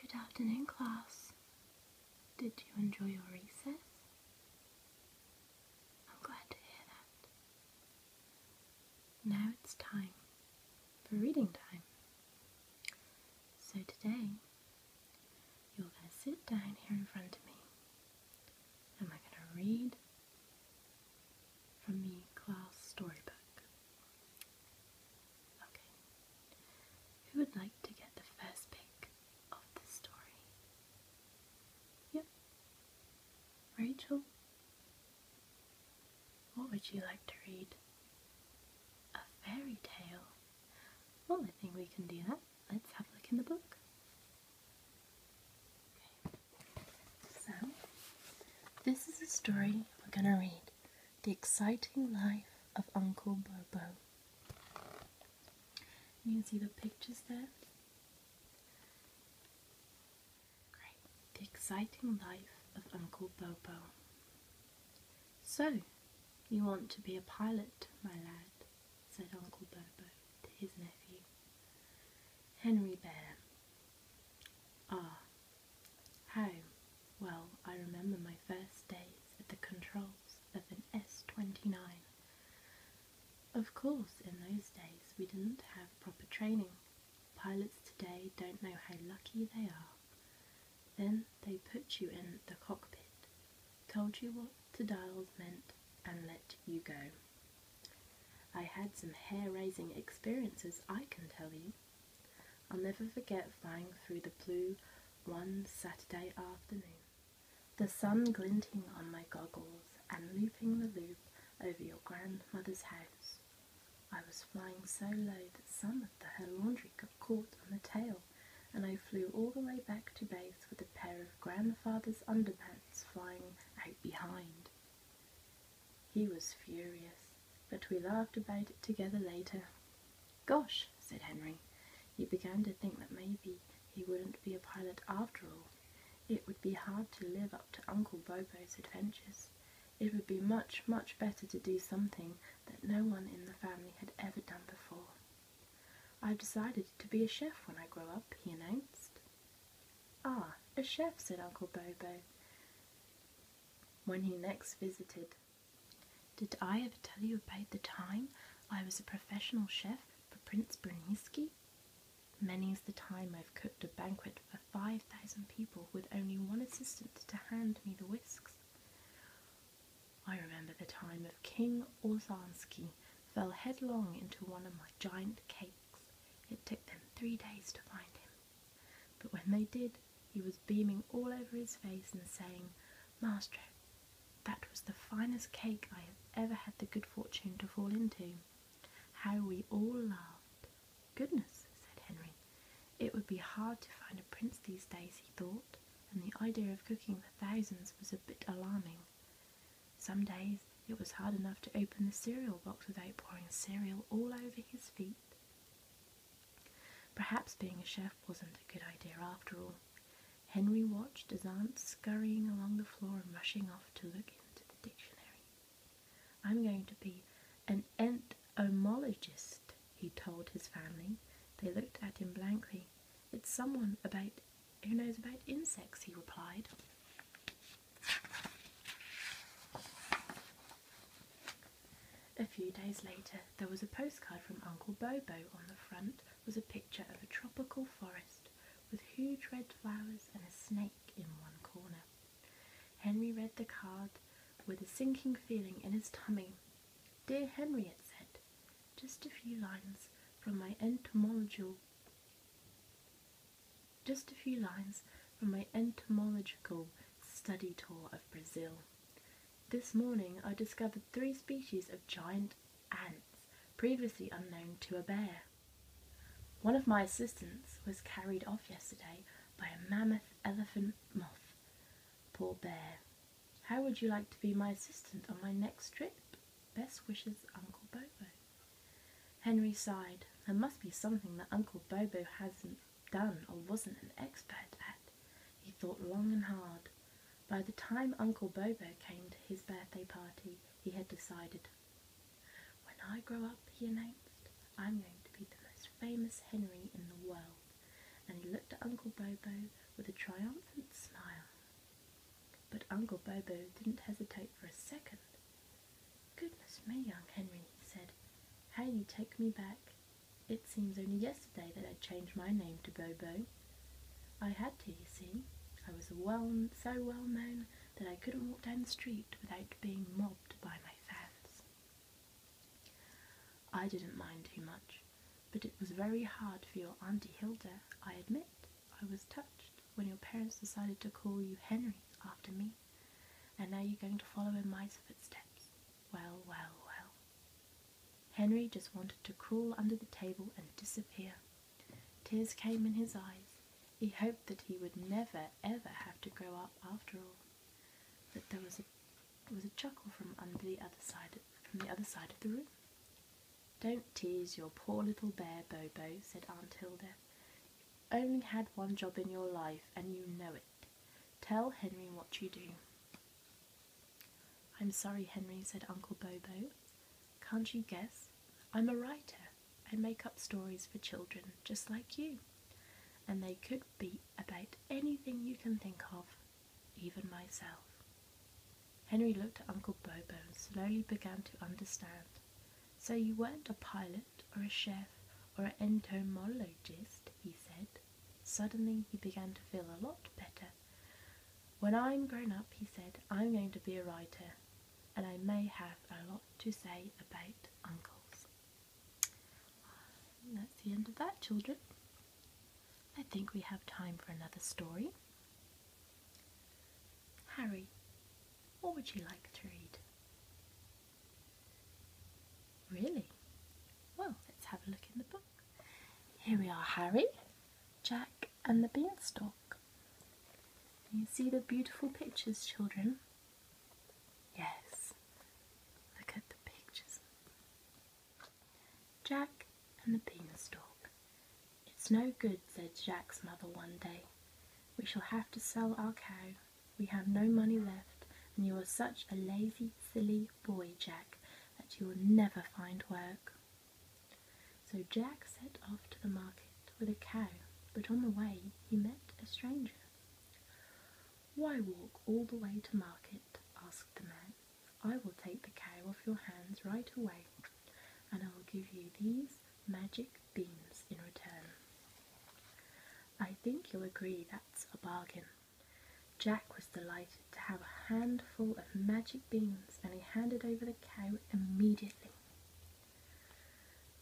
Good afternoon, class. Did you enjoy your recess? I'm glad to hear that. Now it's time for reading time. So today you're going to sit down here in front of me. And I are going to read from the class storybook. Okay. Who would like to get the first pick of the story? Yep. Rachel? What would you like to read? A fairy tale? Well, I think we can do that. Let's have a look in the book. So, this is a story we're going to read The Exciting Life of Uncle Bobo. You see the pictures there. Great. The Exciting Life of Uncle Bobo. So, you want to be a pilot, my lad, said Uncle Bobo to his nephew, Henry Bear. Ah, how well I remember my first days at the controls of an S-29. Of course, in those days we didn't have proper training. Pilots today don't know how lucky they are. Then they put you in the cockpit, told you what the dials meant, and let you go. I had some hair raising experiences, I can tell you. I'll never forget flying through the blue one Saturday afternoon, the sun glinting on my goggles and looping the loop over your grandmother's house. I was flying so low that some of the, her laundry got caught on the tail, and I flew all the way back to base with a pair of grandfather's underpants flying out behind. He was furious, but we laughed about it together later. Gosh, said Henry, he began to think that maybe he wouldn't be a pilot after all. It would be hard to live up to Uncle Bobo's adventures. It would be much, much better to do something that no one in the family had ever done before. I've decided to be a chef when I grow up, he announced. Ah, a chef, said Uncle Bobo when he next visited. Did I ever tell you about the time I was a professional chef for Prince Bruniski? Many's the time I've cooked a banquet for 5,000 people with only one assistant to hand me the whisks. I remember the time of King Orzansky fell headlong into one of my giant cakes. It took them three days to find him. But when they did, he was beaming all over his face and saying, "Master, that was the finest cake I have ever had the good fortune to fall into. How we all laughed. Goodness, said Henry. It would be hard to find a prince these days, he thought, and the idea of cooking for thousands was a bit alarming. Some days it was hard enough to open the cereal box without pouring cereal all over his feet. Perhaps being a chef wasn't a good idea after all. Henry watched his aunt scurrying along the floor and rushing off to look into the dictionary. I'm going to be an entomologist, he told his family. They looked at him blankly. It's someone about who knows about insects, he replied. A few days later, there was a postcard from Uncle Bobo. On the front was a picture of a tropical forest with huge red flowers and a snake in one corner. Henry read the card with a sinking feeling in his tummy. Dear Henry, it said, just a few lines from my entomological just a few lines from my entomological study tour of Brazil. This morning I discovered three species of giant ants previously unknown to a bear. One of my assistants was carried off yesterday by a mammoth elephant moth. Poor bear. How would you like to be my assistant on my next trip? Best wishes, Uncle Bobo. Henry sighed. There must be something that Uncle Bobo hasn't done or wasn't an expert at. He thought long and hard. By the time Uncle Bobo came to his birthday party, he had decided when I grow up, he announced, I'm going to be the most famous Henry in the world. And he looked at Uncle Bobo with a triumphant smile. But Uncle Bobo didn't hesitate for a second. Goodness me, young Henry, he said, how you take me back. It seems only yesterday that I changed my name to Bobo. I had to, you see. I was so well known that I couldn't walk down the street without being mobbed by my my I didn't mind too much, but it was very hard for your Auntie Hilda, I admit. I was touched when your parents decided to call you Henry after me, and now you're going to follow in my footsteps. Well, well, well. Henry just wanted to crawl under the table and disappear. Tears came in his eyes, he hoped that he would never ever have to grow up after all. But there was a was a chuckle from under the other side of, from the other side of the room. Don't tease your poor little bear, Bobo, said Aunt Hilda. only had one job in your life, and you know it. Tell Henry what you do. I'm sorry, Henry, said Uncle Bobo. Can't you guess? I'm a writer and make up stories for children just like you. And they could be about anything you can think of, even myself. Henry looked at Uncle Bobo and slowly began to understand. So you weren't a pilot or a chef or an entomologist, he said. Suddenly he began to feel a lot better. When I'm grown up, he said, I'm going to be a writer and I may have a lot to say about uncles. Uh, that's the end of that, children. I think we have time for another story. Harry, what would you like to read? Really? Well, let's have a look in the book. Here we are, Harry, Jack and the Beanstalk. You see the beautiful pictures, children? Yes, look at the pictures. Jack and the beanstalk. It's no good, said Jack's mother one day. We shall have to sell our cow. We have no money left, and you are such a lazy, silly boy, Jack, that you will never find work. So Jack set off to the market with a cow, but on the way he met a stranger. Why walk all the way to market? asked the man. I will take the cow off your hands right away, and I will give you these magic beans in return. I think you'll agree that's a bargain. Jack was delighted to have a handful of magic beans and he handed over the cow immediately.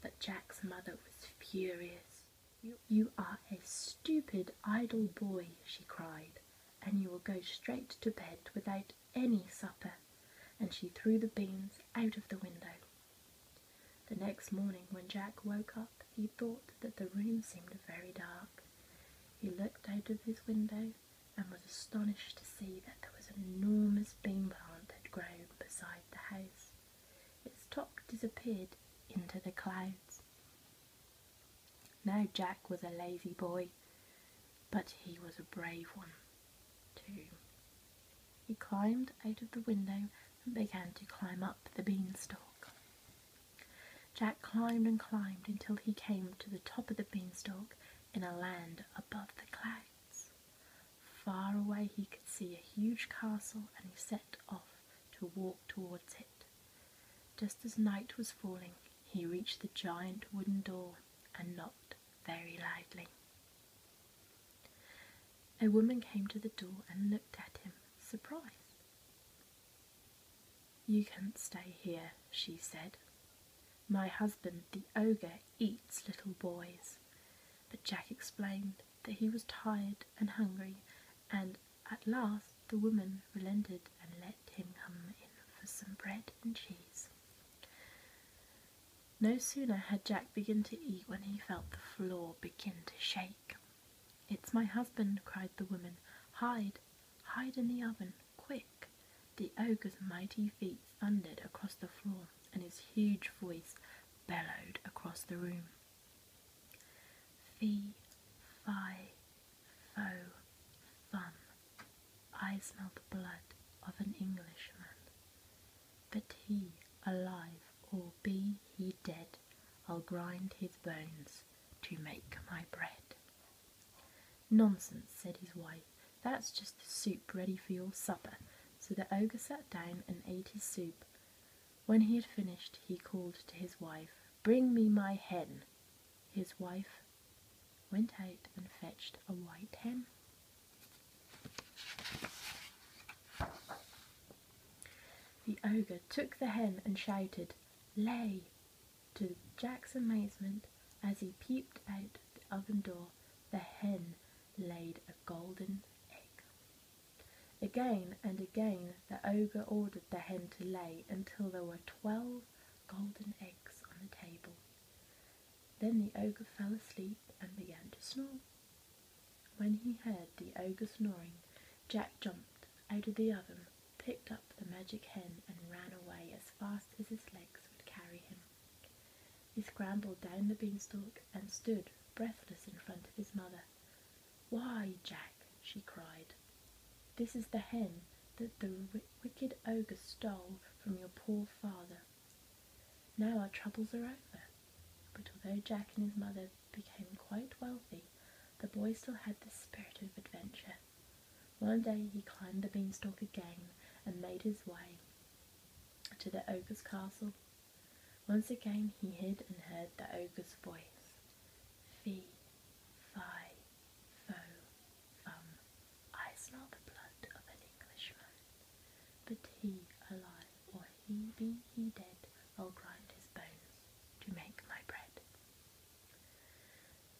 But Jack's mother was furious. You, are a stupid, idle boy, she cried, and you will go straight to bed without any supper. And she threw the beans out of the window. The next morning, when Jack woke up, he thought that the room seemed very dark. He looked out of his window and was astonished to see that there was an enormous bean plant that had grown beside the house. Its top disappeared into the clouds. Now Jack was a lazy boy, but he was a brave one, too. He climbed out of the window and began to climb up the beanstalk. Jack climbed and climbed until he came to the top of the beanstalk in a land above the clouds. Far away he could see a huge castle and he set off to walk towards it. Just as night was falling, he reached the giant wooden door and knocked very loudly. A woman came to the door and looked at him, surprised. You can't stay here, she said. My husband, the ogre, eats little boys. But Jack explained that he was tired and hungry, and at last the woman relented and let him come in for some bread and cheese. No sooner had Jack begun to eat when he felt the floor begin to shake. It's my husband, cried the woman. Hide, hide in the oven. Quick! The ogre's mighty feet thundered across the floor, and his huge voice bellowed across the room. Fee, fie, fo, fum. I smell the blood of an Englishman. But he alive, or be he dead, I'll grind his bones to make my bread. Nonsense, said his wife, that's just the soup ready for your supper. So the ogre sat down and ate his soup. When he had finished, he called to his wife, Bring me my hen. His wife went out and fetched a white hen. The ogre took the hen and shouted, Lay, to Jack's amazement, as he peeped out of the oven door, the hen laid a golden egg. Again and again the ogre ordered the hen to lay until there were twelve golden eggs on the table. Then the ogre fell asleep and began to snore. When he heard the ogre snoring, Jack jumped out of the oven picked up the magic hen, and ran away as fast as his legs would carry him. He scrambled down the beanstalk and stood breathless in front of his mother. Why, Jack, she cried, this is the hen that the wicked ogre stole from your poor father. Now our troubles are over. But although Jack and his mother became quite wealthy, the boy still had the spirit of adventure. One day he climbed the beanstalk again and made his way to the ogre's castle. Once again he hid and heard the ogre's voice. Fee, fi, fo, fum. I smell the blood of an Englishman. But he alive or he be he dead, I'll grind his bones to make my bread.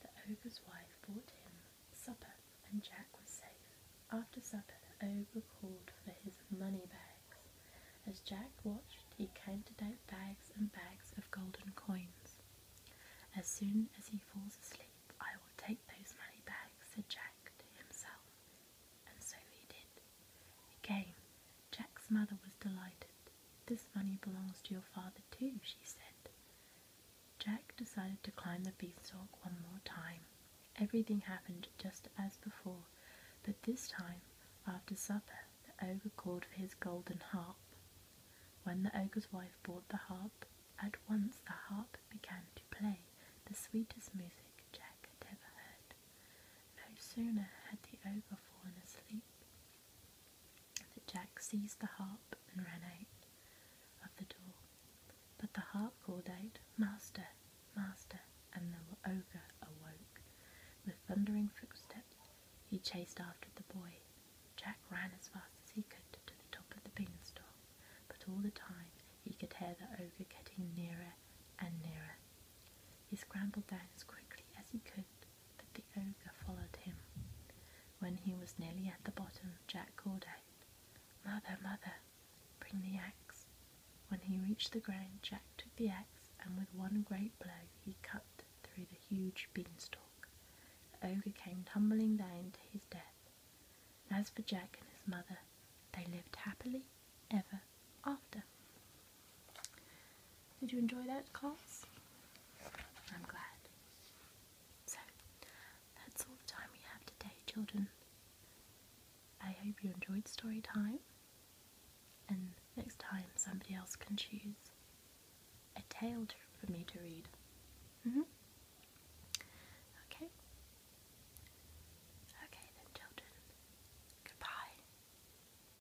The ogre's wife brought him supper, and Jack was safe. After supper, the ogre called for his money bags. As Jack watched, he counted out bags and bags of golden coins. As soon as he falls asleep, I will take those money bags, said Jack to himself. And so he did. Again, Jack's mother was delighted. This money belongs to your father too, she said. Jack decided to climb the beanstalk one more time. Everything happened just as before, but this time, after supper, the ogre called for his golden harp. When the ogre's wife brought the harp, at once the harp began to play the sweetest music Jack had ever heard. No sooner had the ogre fallen asleep that Jack seized the harp and ran out of the door. But the harp called out, Master, Master, and the ogre awoke. With thundering footsteps, he chased after the boy. Jack ran as fast as he could to the top of the beanstalk, but all the time he could hear the ogre getting nearer and nearer. He scrambled down as quickly as he could but the ogre followed him. When he was nearly at the bottom, Jack called out, Mother, mother, bring the axe!" When he reached the ground, Jack took the axe and with one great blow he cut through the huge beanstalk. The ogre came tumbling down to his death. As for Jack and his mother, they lived happily ever after. Did you enjoy that class? I'm glad. So, that's all the time we have today, children. I hope you enjoyed story time, and next time somebody else can choose a tale for me to read. Mm-hmm. Okay. Okay then, children. Goodbye.